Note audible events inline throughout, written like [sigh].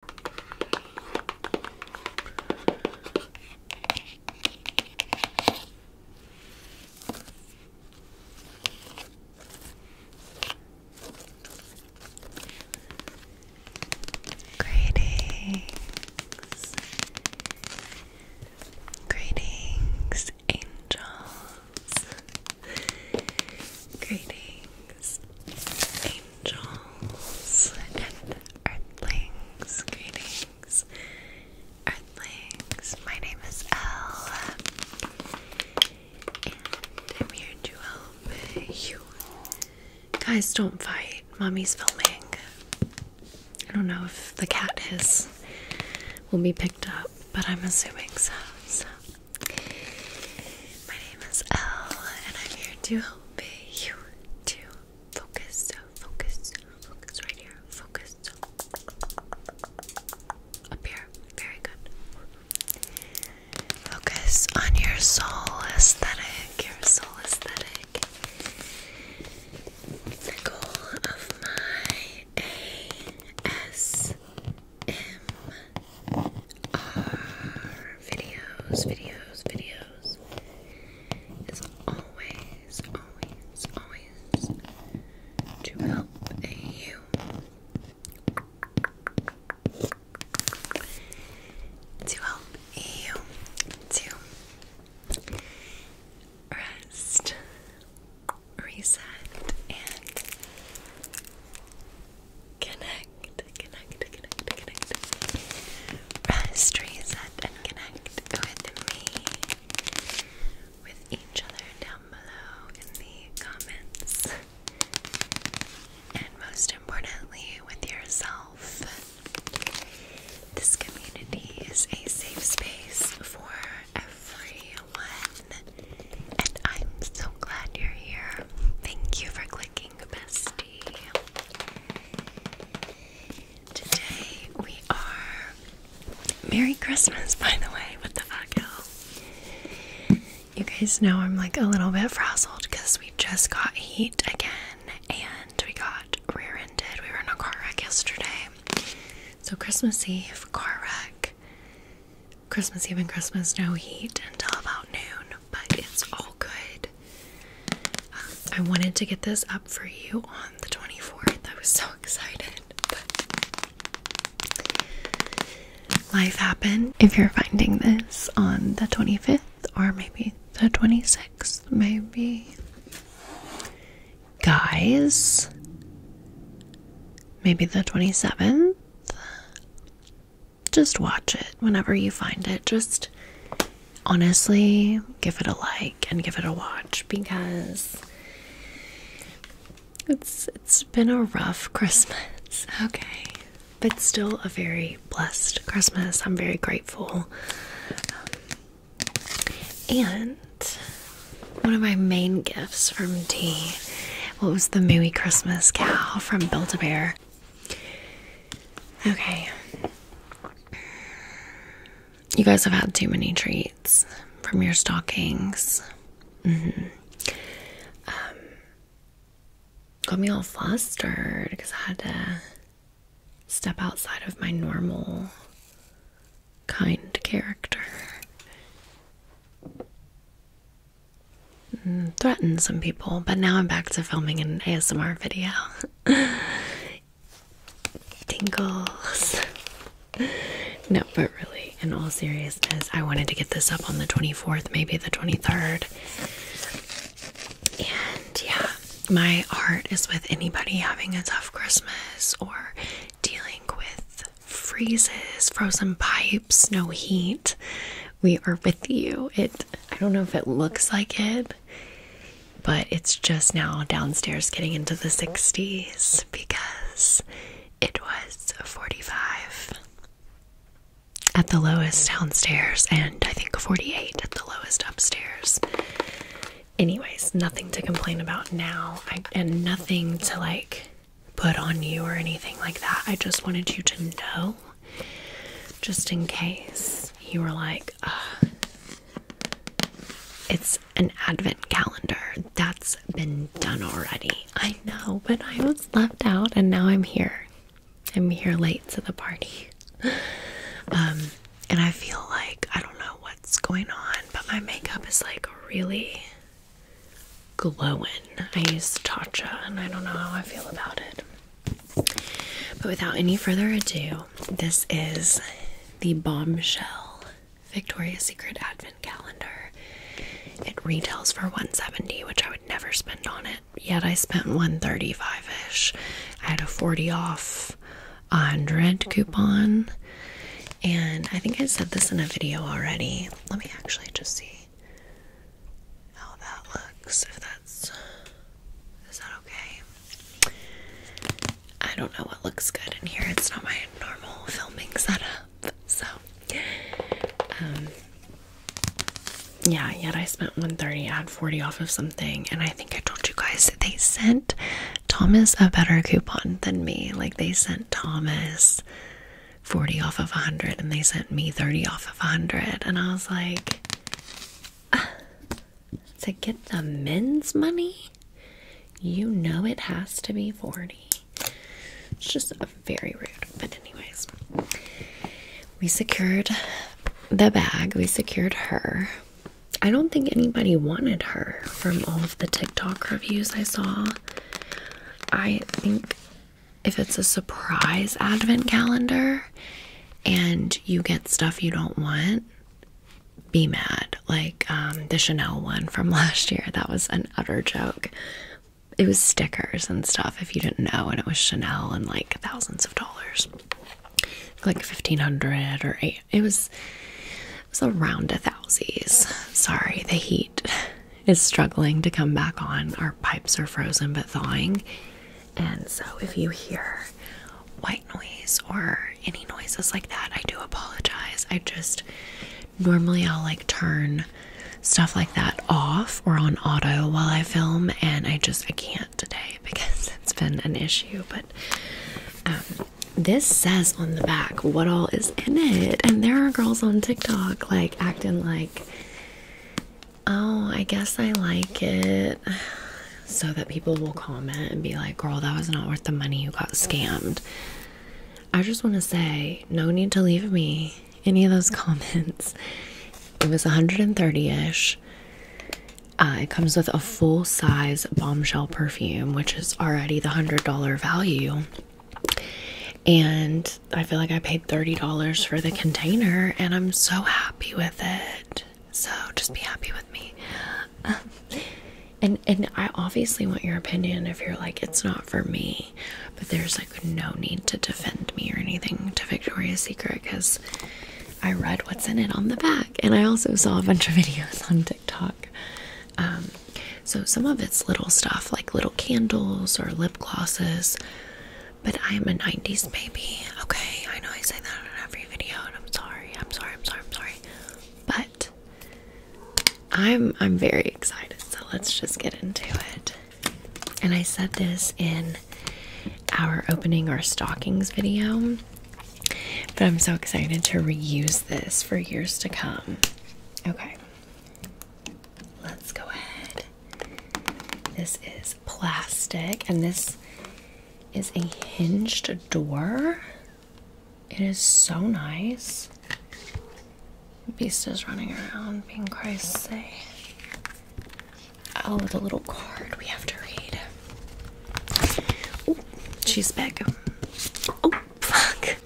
Greetings, greetings, angels. Greetings. Angels and earthlings, greetings. Earthlings, my name is Elle, and I'm here to help you. Guys, don't fight. Mommy's filming. I don't know if the cat hiss will be picked up, but I'm assuming so. My name is Elle, and I'm here to helping you to focus, focus, focus right here, focus up here. Very good. Focus on your soul aesthetic, your soul aesthetic. The goal of my ASMR are videos, videos, videos. Is always, always, always to help you. To help you to rest, reset, and Connect, connect, connect, connect. Rest, reset, and connect with me, with each other down below in the comments, and most importantly, with yourself. This community is a safe space for everyone, and I'm so glad you're here. Thank you for clicking best Today we are. Merry Christmas, by the way. What the fuck, you You guys know I'm like a little bit frazzled because we just got heat again and we got rear ended. We were in a car wreck yesterday. So, Christmas Eve, car wreck. Christmas Eve and Christmas, no heat until about noon, but it's all good. I wanted to get this up for you on the 24th. I was so excited, but life happened. If you're finding this on the 25th or maybe the 26th, maybe. Guys, maybe the 27th just watch it whenever you find it. Just honestly give it a like and give it a watch because it's it's been a rough Christmas. [laughs] Okay. But still a very blessed Christmas. I'm very grateful. And one of my main gifts from tea what was the Mooey Christmas cow from Build-A-Bear. Okay. You guys have had too many treats from your stockings. Mm-hmm. Um, got me all flustered because I had to step outside of my normal kind character threatened some people, but now I'm back to filming an ASMR video. [laughs] Tingles. no, but really, in all seriousness, I wanted to get this up on the 24th, maybe the 23rd. And yeah, my heart is with anybody having a tough Christmas or dealing with freezes, frozen pipes, no heat. We are with you. It I don't know if it looks like it, but it's just now downstairs getting into the 60s because it was 45 at the lowest downstairs and I think 48 at the lowest upstairs. Anyways, nothing to complain about now I, and nothing to like put on you or anything like that. I just wanted you to know just in case you were like, it's an advent calendar that's been done already. I know, but I was left out and now I'm here. I'm here late to the party. [sighs] Um, and I feel like I don't know what's going on, but my makeup is like really glowing. I use Tatcha and I don't know how I feel about it. But without any further ado, this is the Bombshell Victoria's Secret Advent Calendar. It retails for 170, which I would never spend on it. Yet I spent 135-ish. I had a 40 off 100 coupon. And I think I said this in a video already. Let me actually just see how that looks. If that's is that okay? I don't know what looks good in here. It's not my normal filming setup. So um yeah, yet I spent 130 I had 40 off of something and I think I told you guys they sent Thomas a better coupon than me. Like they sent Thomas 40 off of 100 and they sent me 30 off of 100 and I was like to get the men's money, you know it has to be 40. It's just very rude. But, anyways, we secured the bag, we secured her. I don't think anybody wanted her from all of the TikTok reviews I saw. I think if it's a surprise advent calendar, and you get stuff you don't want, be mad. Like um, the Chanel one from [laughs] last year, that was an utter joke. It was stickers and stuff if you didn't know, and it was Chanel and like thousands of dollars, like fifteen hundred or It was it was around a thousies. Sorry, the heat is struggling to come back on. Our pipes are frozen but thawing. And so if you hear white noise or any noises like that, I do apologize. I just normally I'll like turn stuff like that off or on auto while I film and I just I can't today [laughs] because it's been an issue, but um, this says on the back what all is in it and there are girls on TikTok like acting like Oh, I guess I like it [sighs] so that people will comment and be like, girl, that was not worth the money. You got scammed. I just want to say, no need to leave me any of those [laughs] comments. It was a 130 ish. Uh, it comes with a full size bombshell perfume, which is already the $100 value. And I feel like I paid $30 for the container, and I'm so happy with it. So just be happy with me. Um, and and I obviously want your opinion if you're like it's not for me, but there's like no need to defend me or anything to Victoria's Secret because I read what's in it on the back, and I also saw a bunch of [laughs] videos on TikTok. Um, so some of it's little stuff like little candles or lip glosses, but I'm a 90s baby, okay? I know I say that on every video and I'm sorry, I'm sorry, I'm sorry, I'm sorry. But I'm I'm very excited, so let's just get into it. And I said this in our opening our stockings video. But I'm so excited to reuse this for years to come. Okay. Let's go ahead this is plastic, and this is a hinged door. It is so nice. Beast is running around being crazy. Oh, the little card we have to read. Oh, she's back. Oh, fuck.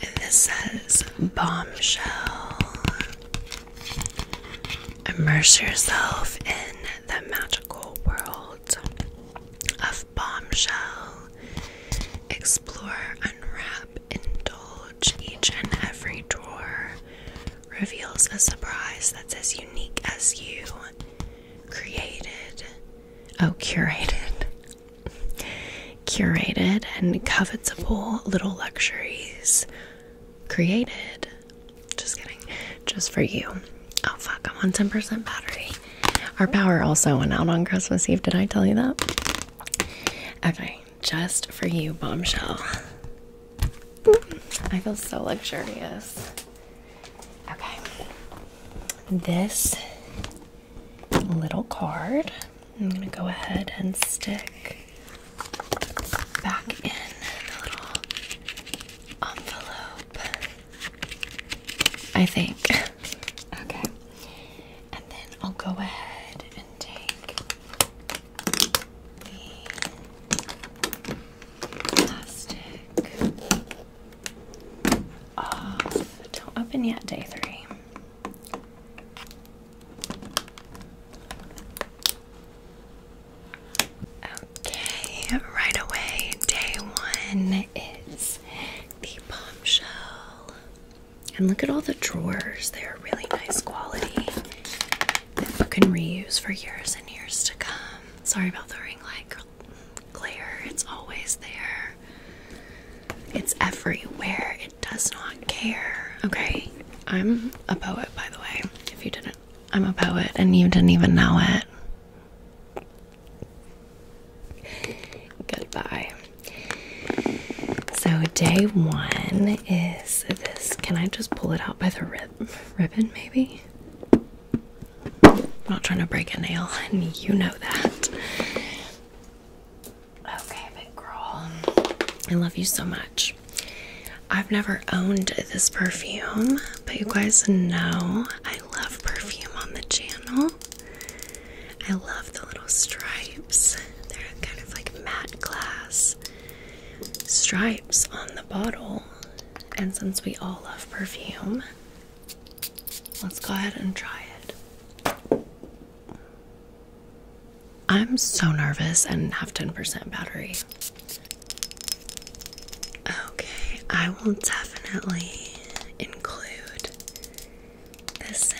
And this says bombshell. Immerse yourself in the magical world of bombshell. Explore, unwrap, indulge. Each and every drawer reveals a surprise that's as unique as you. Created, oh, curated, curated, and covetable little luxuries created. Just kidding. Just for you. Oh fuck, I'm on 10% battery. Our power also went out on Christmas Eve. Did I tell you that? Okay, just for you, bombshell. I feel so luxurious. Okay. This little card I'm going to go ahead and stick back in the little envelope, I think. [laughs] okay. And then I'll go ahead and take the plastic off. Don't open yet, day three. Okay, right away, day one is the bombshell. And look at all the drawers, they're really nice quality that you can reuse for years and years to come. Sorry about the ring light, glare. it's always there, it's everywhere, does not care. Okay. I'm a poet, by the way, if you didn't. I'm a poet and you didn't even know it. Goodbye. So, day one is this. Can I just pull it out by the rib ribbon, maybe? I'm not trying to break a nail, and you know that. Okay, big girl. I love you so much. I've never owned this perfume, but you guys know I love perfume on the channel. I love the little stripes. They're kind of like matte glass stripes on the bottle. And since we all love perfume, let's go ahead and try it. I'm so nervous and have 10% battery. Okay, I will definitely include this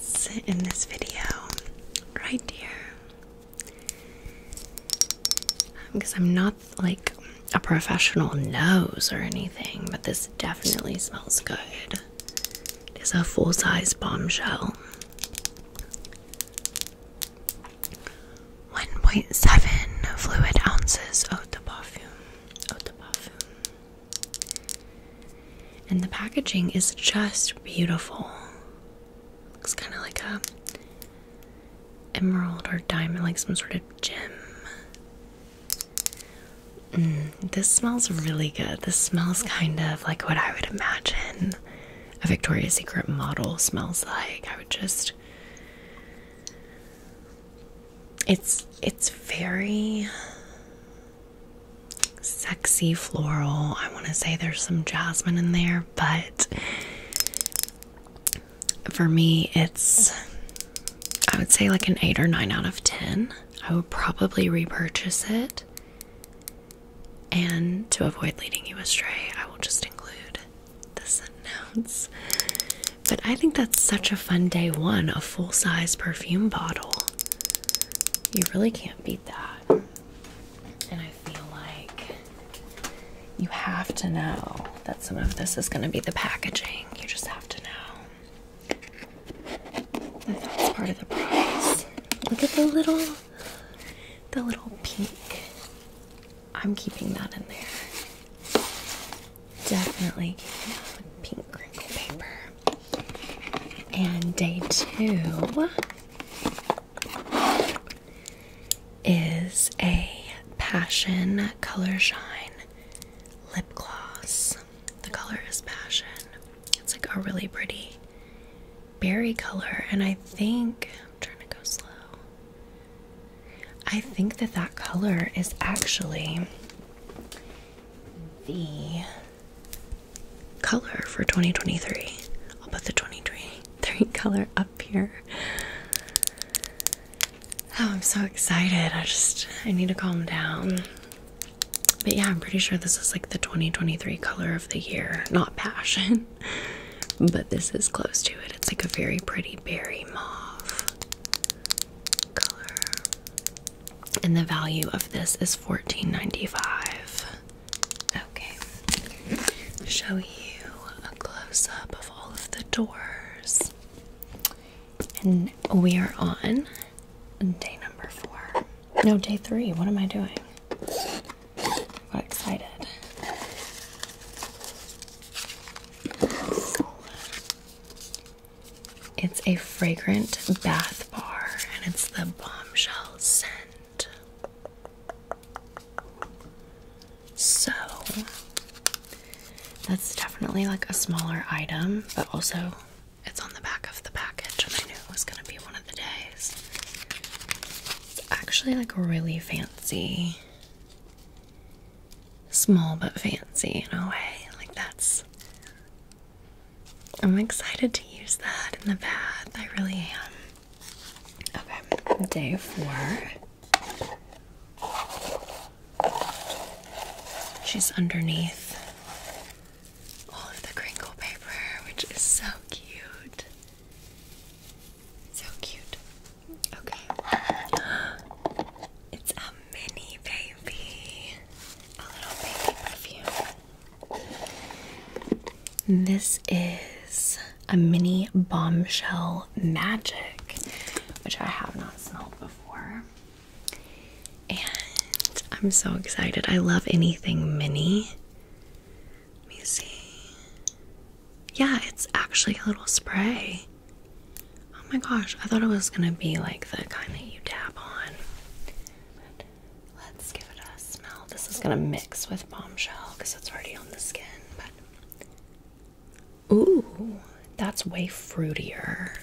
scent in this video right here. Because I'm not like a professional nose or anything, but this definitely smells good. It is a full size bombshell. 1.7 fluid ounces of the perfume. Of the perfume. And the packaging is just beautiful. Looks kind of like a emerald or diamond, like some sort of gem. Mm, this smells really good. This smells kind of like what I would imagine a Victoria's Secret model smells like. I would just it's it's very sexy floral. I want to say there's some jasmine in there, but for me it's I would say like an 8 or 9 out of 10. I would probably repurchase it. And to avoid leading you astray, I will just include the sentence. But I think that's such a fun day one, a full size perfume bottle. You really can't beat that. And I feel like you have to know that some of this is going to be the packaging. You just have to know that that's part of the price. Look at the little the little pink. I'm keeping that in there. Definitely keeping that pink crinkle paper. And day two is a Passion Color Shine lip gloss. The color is Passion. It's like a really pretty berry color, and I think I'm trying to go slow. I think that that color is actually the color for 2023. I'll put the 2023 [laughs] color up here. Oh, I'm so excited. I just I need to calm down. But yeah, I'm pretty sure this is like the 2023 color of the year. Not passion, [laughs] but this is close to it. It's like a very pretty berry mauve color. And the value of this is 14.95. Okay. Show you a close-up of all of the doors. And we are on day number four. No, day three. What am I doing? got excited. it's a fragrant bath bar and it's the bombshell scent. So that's definitely like a smaller item, but also it's on the back of the package, and I knew it was gonna be one of the day. It's actually like really fancy. Small but fancy in a way. Like that's I'm excited to use that in the bath. I really am. Okay, day four. She's underneath all of the crinkle paper, which is so cute. So cute. Okay. [gasps] It's a mini baby. A little baby perfume. This is a mini bombshell magic, which I have not smelled before. And I'm so excited. I love anything mini. Let me see. Yeah, it's actually a little spray. Oh my gosh, I thought it was gonna be like the kind that you tap on. let's give it a smell. This is gonna mix with bombshell because it's already on the skin, but ooh, that's way fruitier.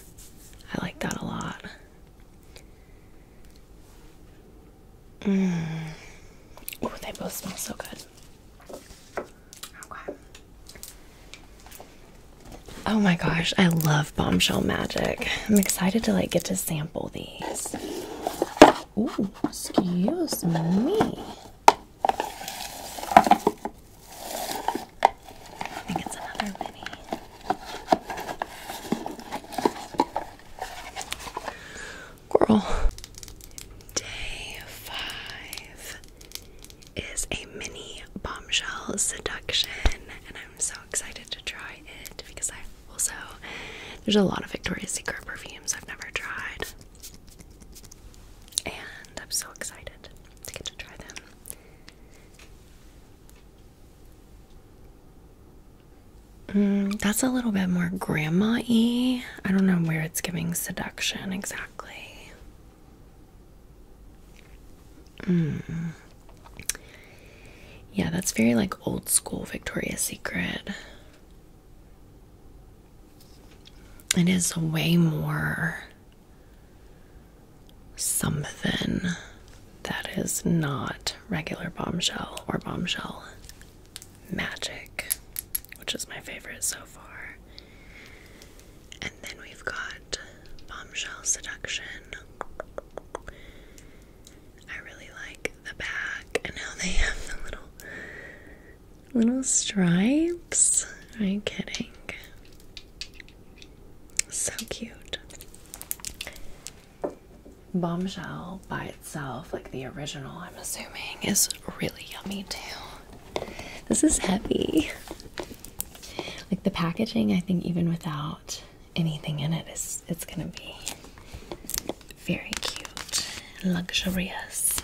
I like that a lot. Oh, they both smell so good. Oh my gosh, I love bombshell magic. I'm excited to like get to sample these. excuse me. I think it's another mini. Girl, Day five is a mini bombshell seduction, and I'm so excited to try it because I also there's a lot of Victoria's Secret perfumes I've never tried, and I'm so excited to get to try them. Mm, that's a little bit more grandma y. I don't know where it's giving seduction exactly. Mm. Yeah, that's very like old school Victoria's Secret. It is way more something that is not regular bombshell or bombshell. Magic, which is my favorite so far. And then we've got Bombshell Seduction. I really like the back and now they have the little little stripes. Are you kidding? So cute. Bombshell by itself, like the original, I'm assuming, is really yummy too. This is heavy. Like the packaging, I think even without anything in it, is it's gonna be very cute, luxurious.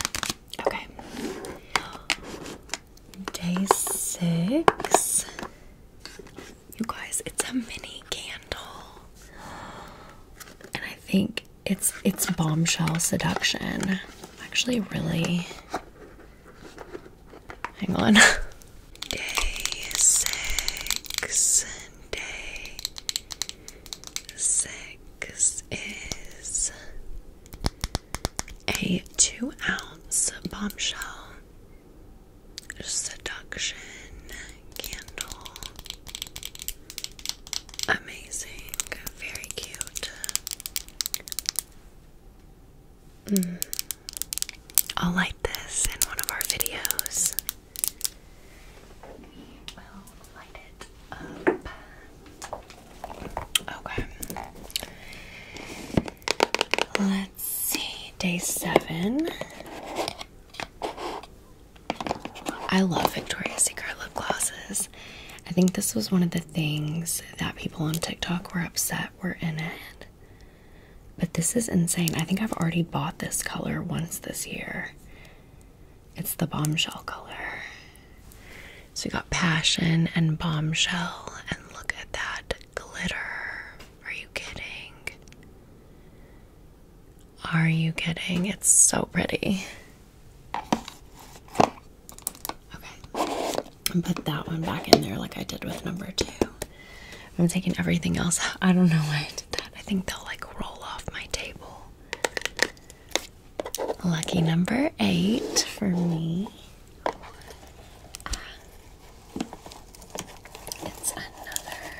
Okay. Day six. You guys, it's a mini candle and I think it's it's bombshell seduction. Actually, really. Hang on. [laughs] Day six. Day six is a two ounce bombshell seduction candle Amazing, very cute. Mm. I'll light this in one of our videos. We will light it up. Okay. Let's see, day seven. I love Victoria's Secret lip glosses. I think this was one of the things that people on TikTok were upset were in it. But this is insane. I think I've already bought this color once this year. It's the bombshell color. So you got passion and bombshell, and look at that glitter. Are you kidding? Are you kidding? It's so pretty. Okay. Put that one back in there like I did with number two. I'm taking everything else I don't know why I did that. I think they'll like roll off my table. Lucky number eight for me. It's another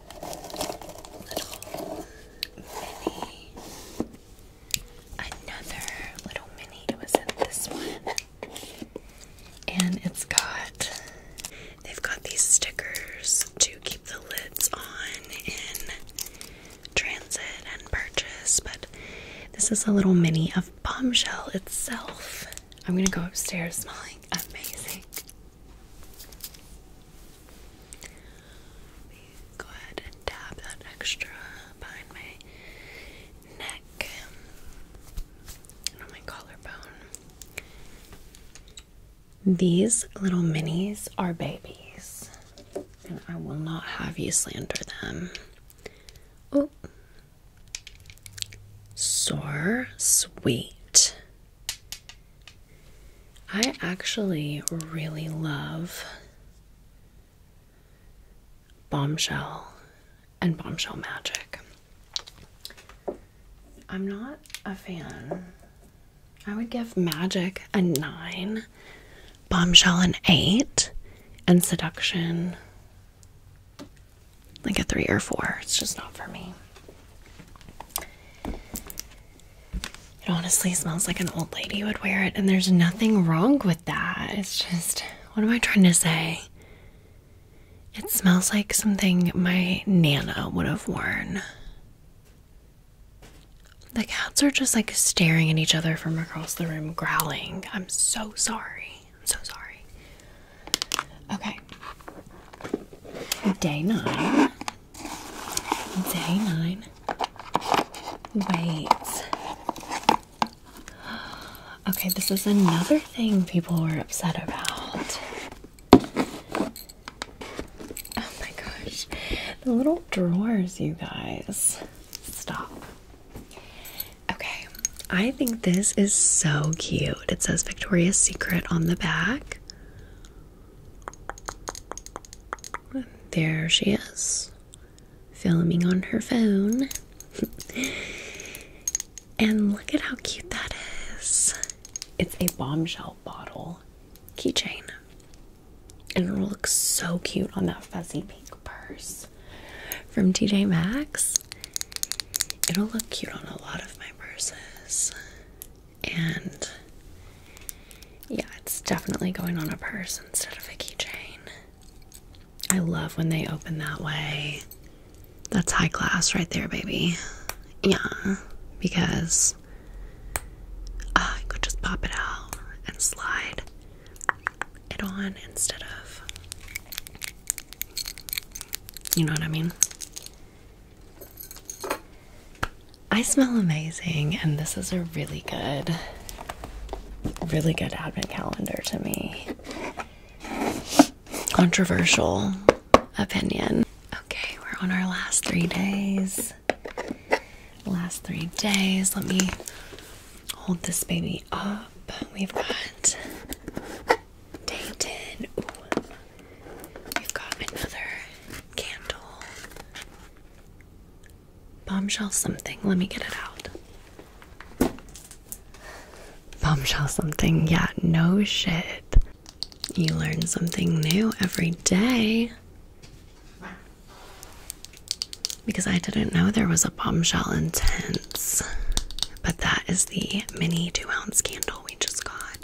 mini, another little mini. It was in this one, and it's got. They've got these stickers to keep the lids on in transit and purchase, but this is a little mini of Bombshell itself. I'm gonna go upstairs smelling amazing go ahead and dab that extra behind my neck and on my collarbone. These little minis are babies, and I will not have you slander them. Oh, sore, sweet, I actually really love Bombshell and Bombshell Magic. I'm not a fan. I would give Magic a 9, Bombshell an 8, and Seduction like a 3 or 4. It's just not for me. It honestly smells like an old lady would wear it, and there's nothing wrong with that. It's just, what am I trying to say? It smells like something my Nana would have worn. The cats are just like staring at each other from across the room, growling. I'm so sorry. I'm so sorry. Okay. Day nine. Day nine. Wait. Okay, this is another thing people were upset about. Oh my gosh. The little drawers, you guys. Stop. Okay, I think this is so cute. It says Victoria's Secret on the back. There she is, filming on her phone. [laughs] and look at how cute that is. It's a bombshell bottle keychain. And it'll look so cute on that fuzzy pink purse from TJ Maxx. It'll look cute on a lot of my purses and yeah, it's definitely going on a purse instead of a keychain. I love when they open that way. That's high class right there, baby. Yeah, because uh, I could just pop it out and slide it on instead of. You know what I mean? I smell amazing, and this is a really good, really good advent calendar to me. Controversial opinion. Okay, we're on our last three days. Last three days. Let me hold this baby up. We've got day 10. We've got another candle. Bombshell something. Let me get it out. Bombshell something. Yeah, no shit. You learn something new every day. Because I didn't know there was a bombshell intense. But that is the mini two ounce candle we just got.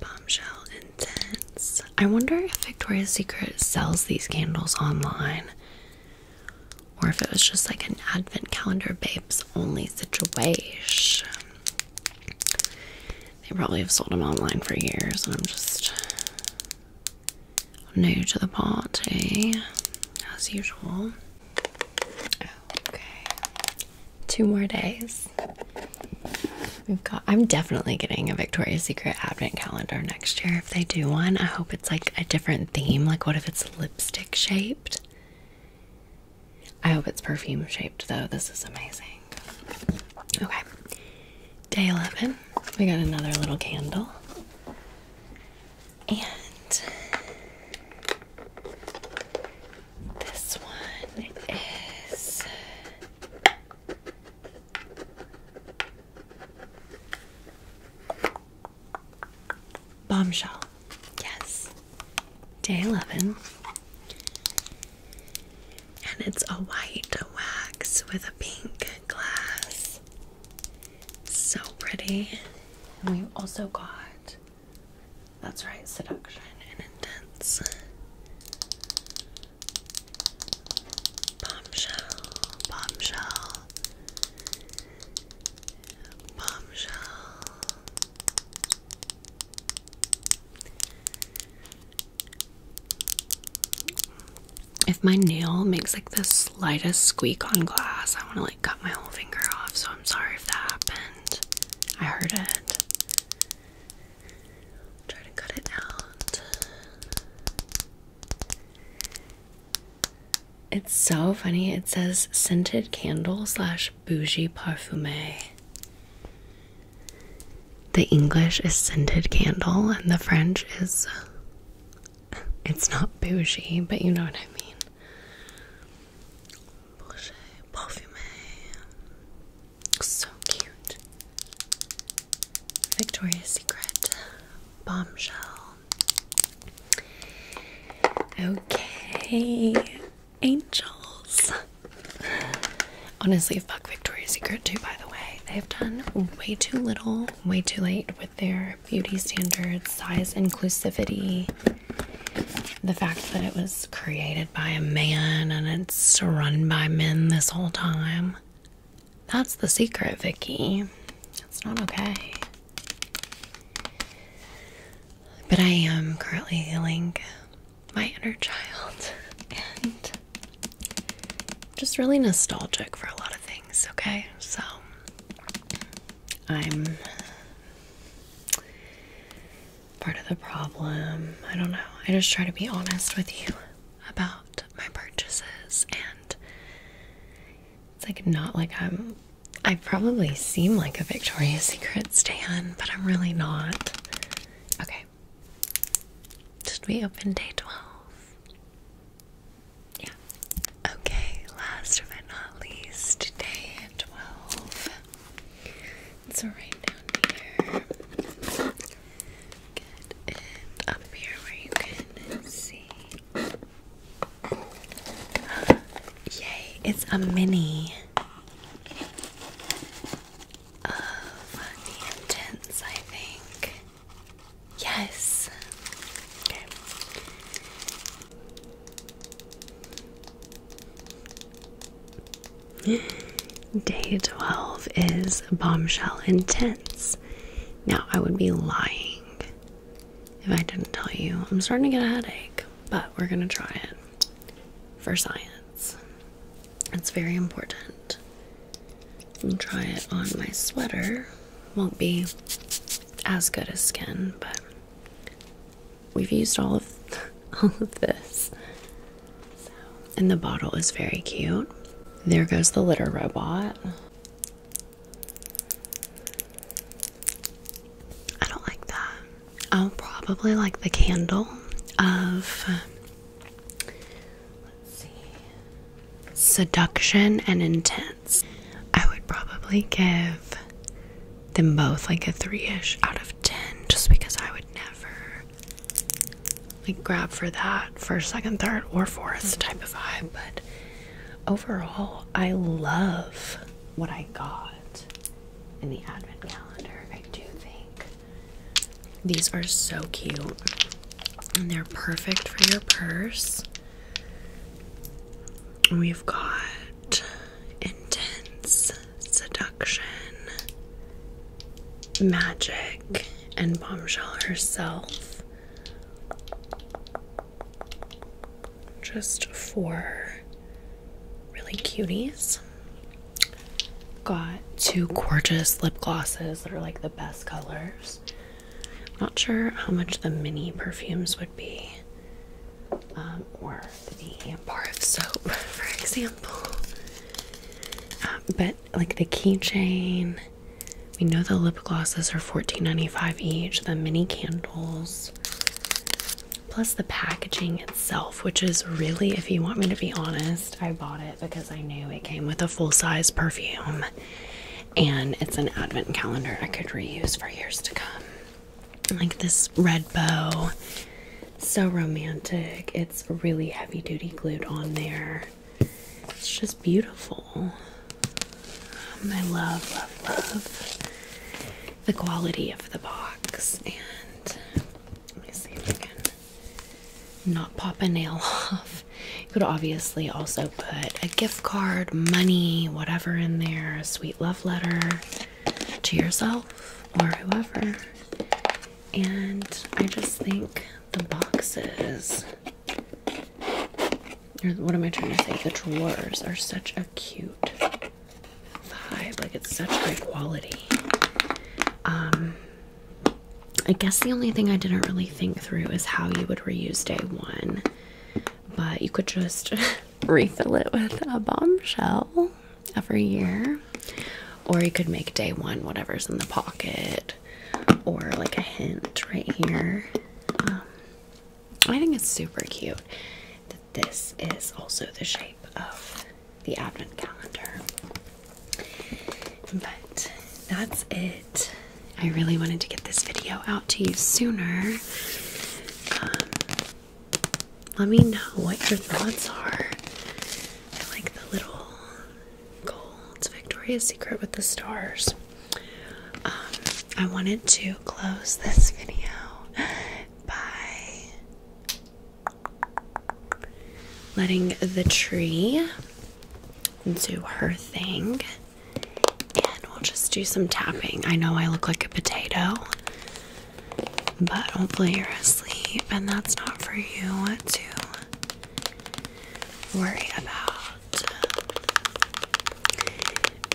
Bombshell Intense. I wonder if Victoria's Secret sells these candles online or if it was just like an advent calendar babes only situation. They probably have sold them online for years, and I'm just new to the party as usual. Okay two more days. We've got I'm definitely getting a Victoria's Secret advent calendar next year if they do one. I hope it's like a different theme. Like what if it's lipstick shaped? I hope it's perfume shaped though. This is amazing. Okay. Day 11. We got another little candle. And this one is Bombshell. Yes. Day 11. And it's a white wax with a pink glass. So pretty. And we've also got that's right, seduction and intense. Bombshell, bombshell, bombshell. If my nail makes like the slightest squeak on glass, I want to like cut my whole finger off. So I'm sorry if that happened. I heard it. Try to cut it out. It's so funny. It says scented candle slash bougie parfumé. The English is scented candle, and the French is. It's not bougie, but you know what I mean. So cute. Victoria's Secret bombshell. Okay, angels. Honestly, fuck Victoria's Secret too, by the way. They have done way too little, way too late with their beauty standards, size inclusivity the fact that it was created by a man and it's run by men this whole time. That's the secret, Vicky. It's not okay. But I am currently healing my inner child and just really nostalgic for a lot of things, okay? So I'm part of the problem. I don't know. I just try to be honest with you about my purchases and it's like not like I'm I probably seem like a Victoria's Secret stan, but I'm really not. Okay. Should we open day 12? Yeah. Okay, last but not least, day 12. So right down here. Good. And up here where you can see. Yay, it's a mini of the I think. Yes. Okay. [gasps] Day 12 is Bombshell Intense. Now, I would be lying if I didn't tell you. I'm starting to get a headache, but we're going to try it for science. It's very important. I'll try it on my sweater. Won't be as good as skin, but we've used all of [laughs] all of this and the bottle is very cute. There goes the litter robot. I don't like that. I'll probably like the candle of let's see. Seduction and Intense. I would probably give them both like a 3ish out of 10 just because I would never like grab for that first, second, third, or fourth type of vibe. But overall, I love what I got in the advent calendar. I do think these are so cute and they're perfect for your purse. We've got intense seduction, magic, and bombshell herself. Just for really cuties. Got two gorgeous lip glosses that are like the best colors. Not sure how much the mini perfumes would be, um, or the bar of soap, [laughs] for example. Um, but like the keychain, we know the lip glosses are $14.95 each, the mini candles, plus the packaging itself, which is really, if you want me to be honest, I bought it because I knew it came with a full size perfume and it's an advent calendar I could reuse for years to come. Like this red bow so romantic. It's really heavy duty glued on there. It's just beautiful. Um, I love, love, love the quality of the box. And let me see if I can not pop a nail [laughs] off. You could obviously also put a gift card, money, whatever in there, a sweet love letter to yourself or whoever and I just think the boxes or what am I trying to say? The drawers are such a cute vibe. Like it's such high quality. Um I guess the only thing I didn't really think through is how you would reuse day one. But you could just [laughs] refill it with a bombshell every year. Or you could make day one, whatever's in the pocket, or like a hint right here. Um, I think it's super cute that this is also the shape of the advent calendar. But that's it. I really wanted to get this video out to you sooner. Um, let me know what your thoughts are. I like the little gold Victoria's Secret with the stars. Um, I wanted to close this video [laughs] by letting the tree do her thing. And we'll just do some tapping. I know I look like a potato, but hopefully you're asleep, and that's not for you to worry about.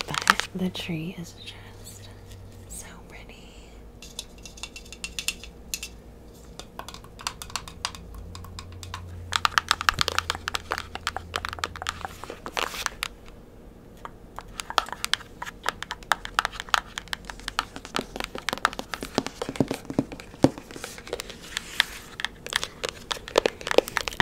But the tree is just so pretty.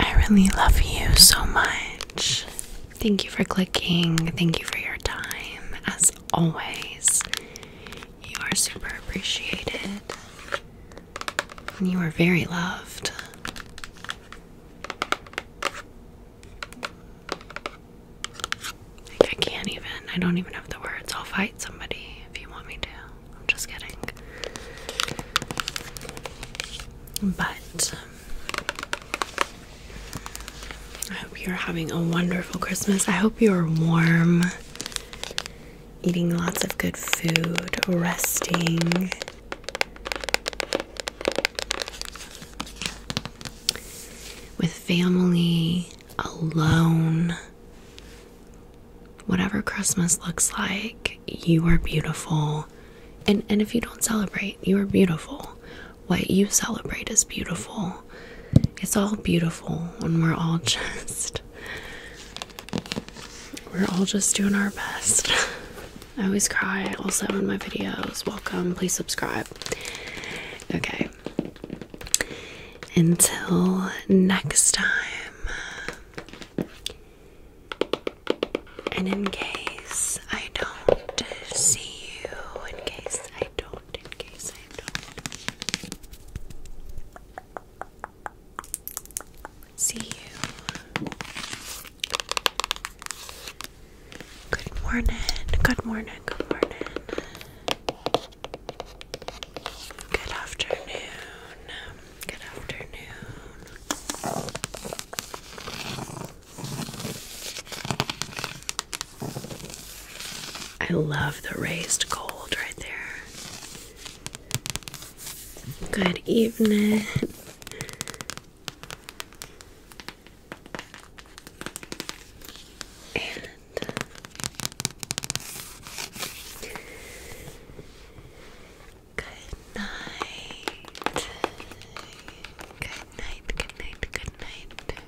I really love you so much. Thank you for clicking. Thank you for your time. As always, you are super appreciated. And you are very loved. I can't even, I don't even have the words. I'll fight somebody if you want me to. I'm just kidding. But um, I hope you're having a wonderful Christmas. I hope you're warm, eating lots of good food, resting. With family, alone. Whatever Christmas looks like, you are beautiful. And and if you don't celebrate, you are beautiful. What you celebrate is beautiful. It's all beautiful when we're all [laughs] just we're all just doing our best. [laughs] I always cry also in my videos. Welcome, please subscribe. Okay, until next time. And in case I don't see you, in case I don't, in case I don't see you. Good morning, good morning, good morning. Good afternoon. Good afternoon. I love the raised gold right there. Good evening. Good night. Good night, good night, good night.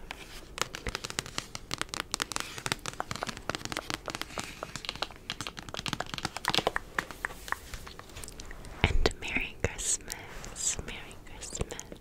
And Merry Christmas. Merry Christmas.